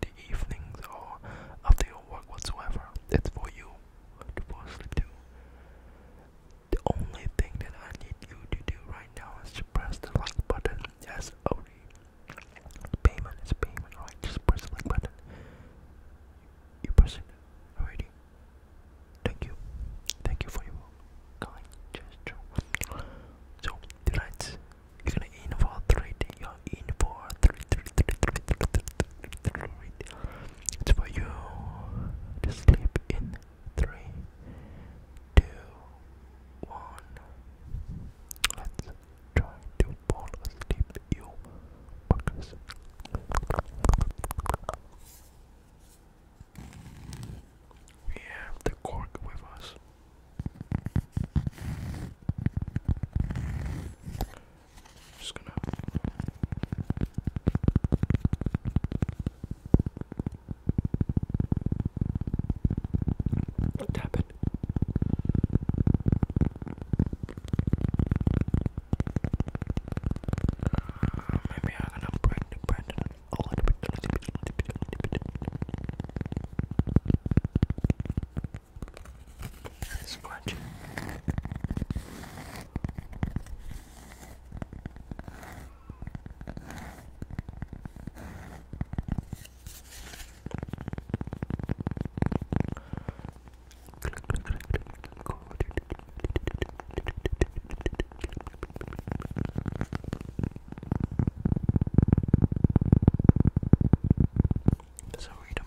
the evenings or after your work whatsoever. It's for you to fall asleep to. The only thing that I need you to do right now is to press the like button. Yes, only payment is payment, Just press the like button. You press it already. Thank you. Thank you for your kind gesture. So, tonight, you're gonna aim 3D. Your in for it's for you to sleep in three, two, one. Let's try to fall asleep, you fuckers. We have the cork with us. I'm just gonna. maybe I'm gonna break the bread a little bit, a little bit, a little and scratching. So read them.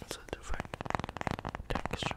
It's a different texture.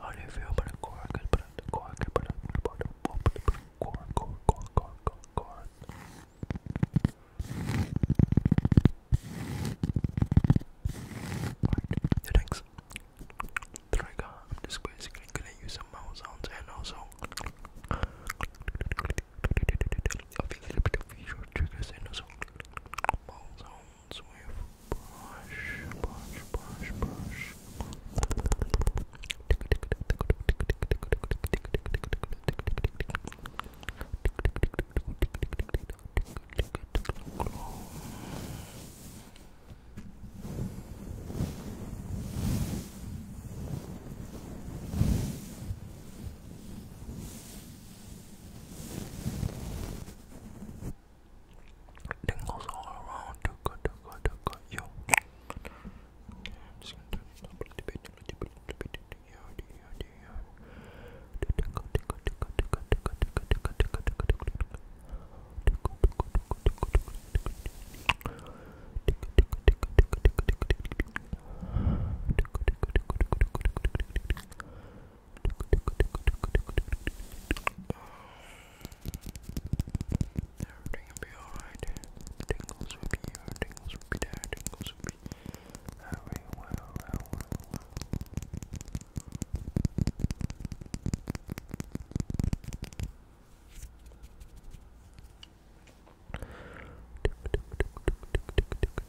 How do you feel about a cork? But a cork, but a cork, cork, cork, cork, cork, cork. Alright, the next trigger I'm gonna use some mouse sounds and also a little bit of visual triggers and also ends with brush, brush, brush, brush. Tick Dingles all around. Too good, too good, too good. Yo. Okay, I'm just gonna do a little bit, a little bit, a little bit. Yo, yo, yo. Tickle, tickle, tickle, tickle, tickle, tickle, tickle, tickle, tickle, tickle, tickle. Tickle, tickle, tickle, tickle, tickle, tickle. Tickle, tickle, tickle, tickle, tickle, tickle, tickle. Tickle, tickle, tickle, tickle, tickle, tickle, tickle. Tickle, tickle, tickle, tickle, tickle, tickle. Everything will be alright. Tingles will be here, tingles will be there, tingles will be everywhere, everywhere. Tick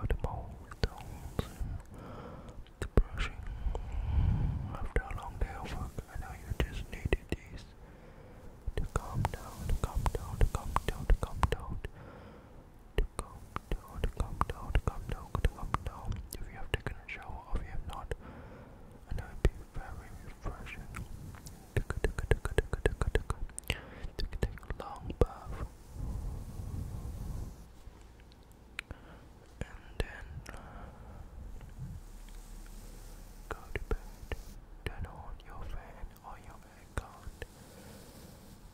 With the mole stones the brushing after a long day of work, I know you just needed these to calm down, to calm down, to calm down, to calm down. To calm down. If you have taken a shower or if you have not, and it would be very refreshing. take a, take a, take a, take a, take a, take a, take a long bath. And then go to bed. Turn on your fan or your aircon.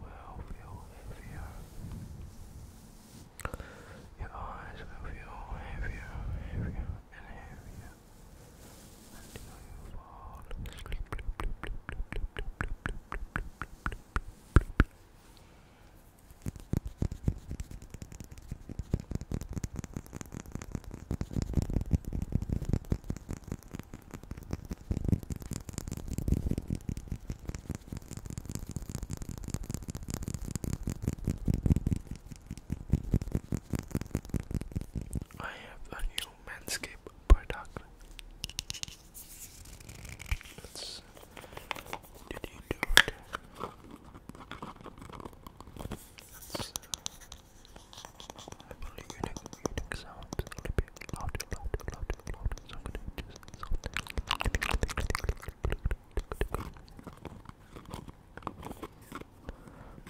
will feel heavier. Your eyes will feel heavier, heavier, and heavier until you fall I have a new Manscaped product. Let's, did you do it? Let's, uh, I you did reading sounds a little bit louder, louder, louder, louder. So I'm gonna just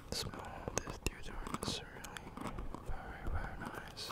The smell of this deodorant is really very, very nice.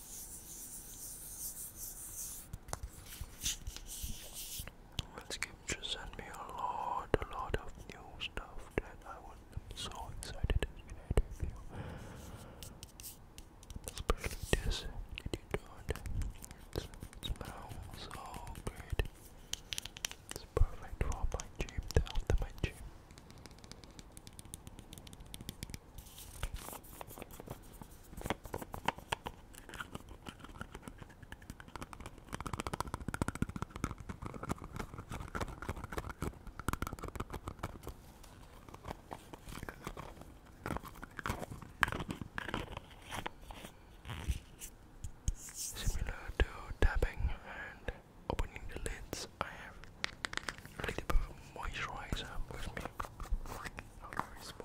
Well, scripture sent me a lot, a lot of new stuff that I was so excited to share Especially this, did you do it? It's, it so great. It's perfect for my gym, after my gym. Similar to tapping and opening the lids, I have a little bit of moisturizer with me. I'll respawn.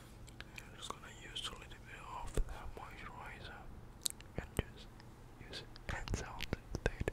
I'm just gonna use a little bit of that moisturizer and just use hands out instead.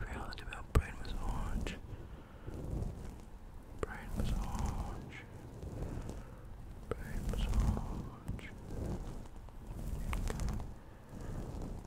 Reality about brain was orange. Brain was orange. Brain was orange.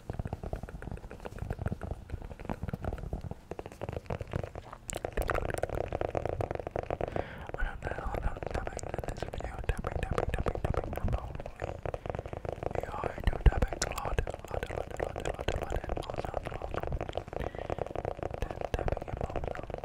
I don't know about topic in this video. Topic, topic, topic, topic, probably. Oh, we are into topic a lot, a lot, a lot, a lot, a lot, a lot, and also, also. Then tapping and pop sounds.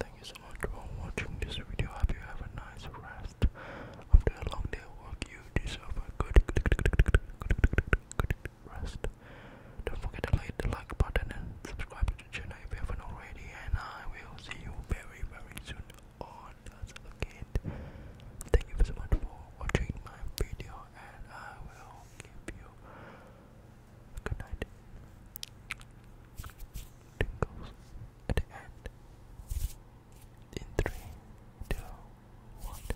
Thank you so much for watching this video. Hope you have a nice rest after a long day of work. You deserve a good, rest. Don't forget to like the like button and subscribe to if you haven't already and I will see you very very soon on another again. Thank you so much for watching my video and I will give you a Tingles at the end. In three, two, one.